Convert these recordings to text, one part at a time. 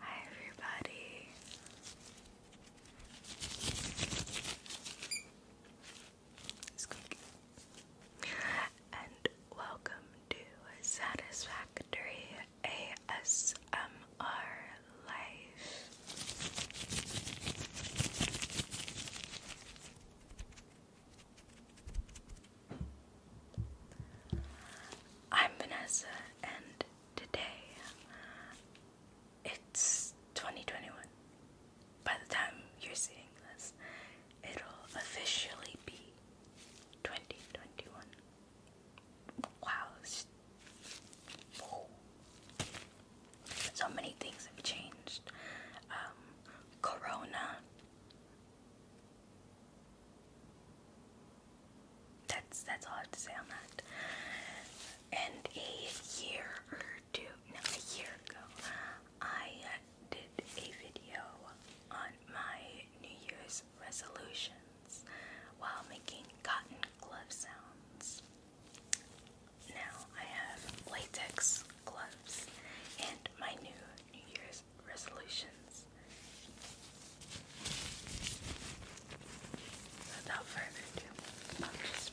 Hi everybody. And welcome to Satisfactory ASMR Life. I'm Vanessa, and today it's 2021. By the time you're seeing this, it'll officially be 2021. Wow. So many things have changed. Um, corona that's that's all I have to say on that. And a year or two, no, a year ago, I uh, did a video on my New Year's resolutions while making cotton glove sounds. Now I have latex gloves, and my new New Year's resolutions. Without further ado, I'll just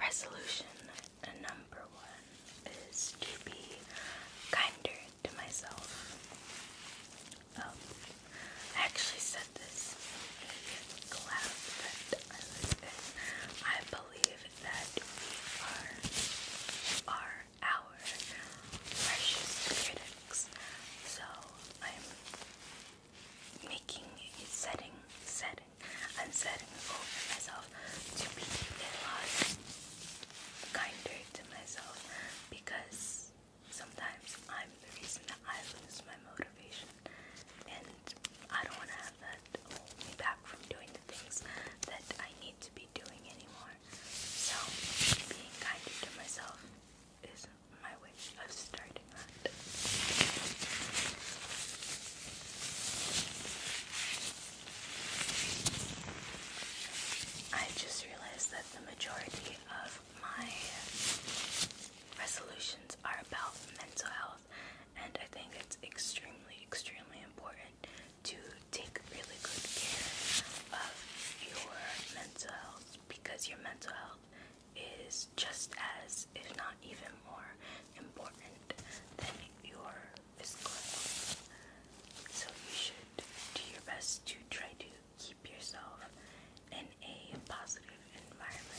Resolution number one is to be kinder to myself. Um, I actually said this in class that I believe that we are our precious critics. So I'm making setting, setting, and setting over myself to be kinder to myself because sometimes I'm the reason that I lose my motivation and I don't want to have that hold me back from doing the things that I to be doing anymore. So, being kinder to myself is my way of starting that. I just realized that the majority of my resolutions are about mental health, and I think it's extremely, extremely important to take really good care of your mental health because your mental health is just as, if not even more, important than your physical health. So you should do your best to try to keep yourself in a positive environment.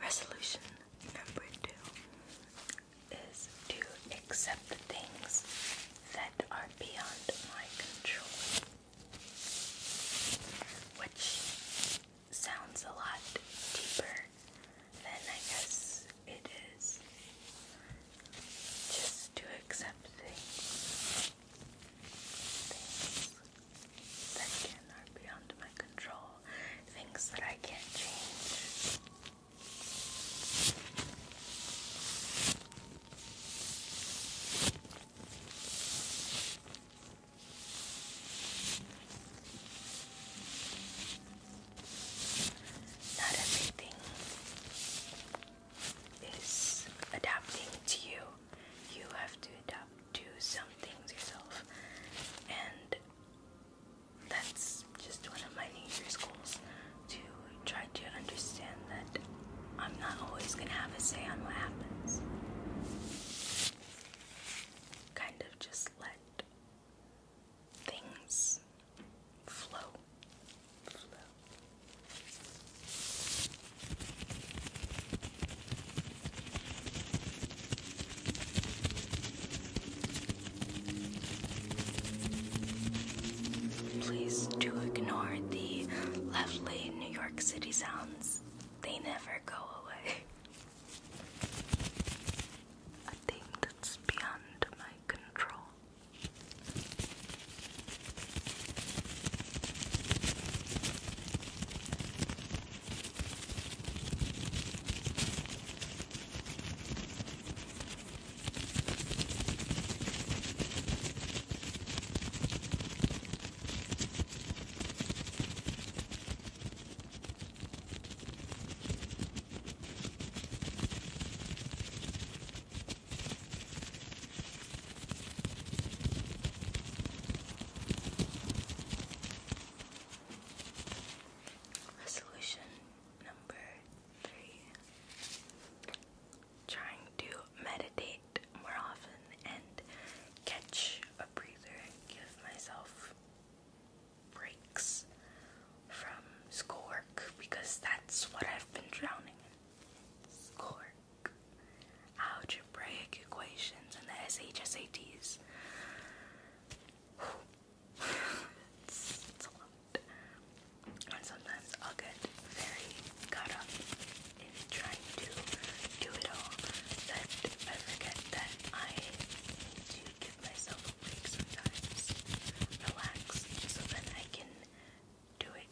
Resolution number two is to accept the things that are beyond my control, which sounds a lot deeper then I guess it is just to accept things, that can are beyond my control, things that I can't change. Not everything is adapting to you. You have to adapt to some things yourself. And that's just one of my nature's goals to try to understand that I'm not always going to have a say on what happens. Kind of just let things flow. Please do ignore the lovely New York City sounds. They never go away. a thing that's beyond my control. Resolution number three trying to meditate more often and catch a breather, give myself breaks from schoolwork because that's what I've been drowning in. Schoolwork, algebraic equations, and the SHSATs. it's, a lot. And sometimes i get very caught up in trying to do it all that I forget that I to give myself a sometimes, relax, so that I can do it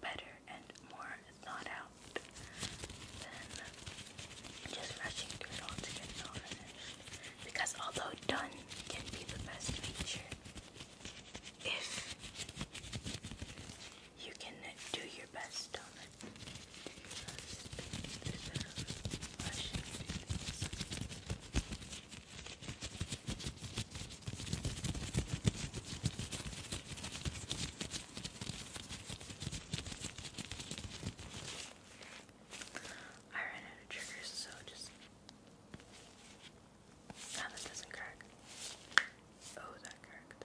better and more thought out than just rushing through it all to get it all finished. Because although done can be the best feature, if you can do your best done. I ran out of triggers, so just now ah, that doesn't crack. Oh, that cracked.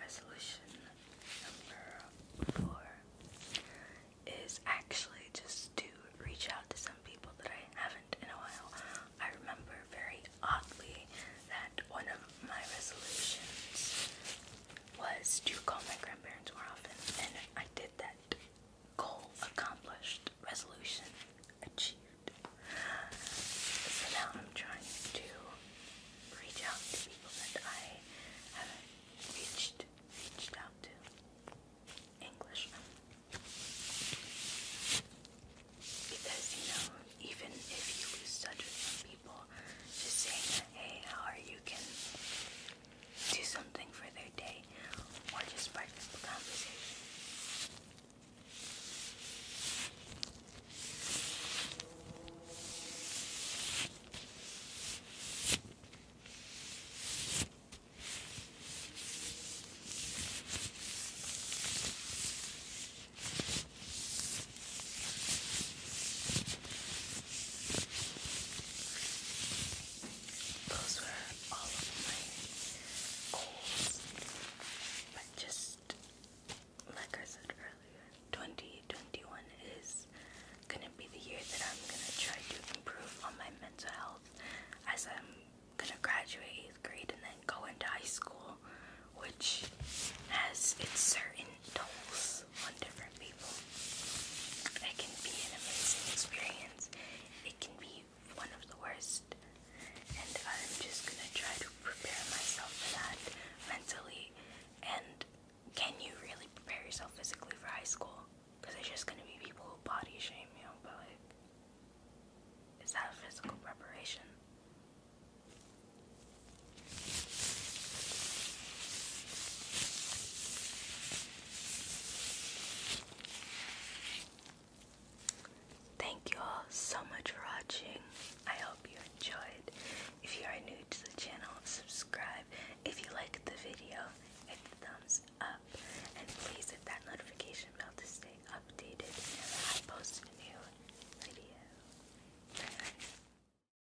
Resolution number four is actually just to reach out to some people that I haven't in a while. I remember very oddly that one of my resolutions was to call my grandparents more often, and I did that Goal accomplished. Resolution achieved. So now I'm trying to reach out to people that I have reached reached out to. English. Because you know, even if you lose touch people, just saying hey, how are you can do something for their day or just spark a conversation. Those were all of my goals. But just like I said earlier, 2021 is gonna be the year that I'm gonna try to improve on my mental health as I'm gonna graduate eighth grade and then go into high school, which has its certain tolls things different people. That can be an amazing experience. It can be one of the worst. And I'm just gonna try to prepare myself for that mentally. And can you really prepare yourself physically for high school? Because there's just gonna be people who body shame you, but like, is that physical preparation? Thank you all so much for watching. I hope you enjoyed. If you are new to the channel, subscribe. If you liked the video, hit thumbs up. And please hit that notification bell to stay updated whenever I post new video. Bye.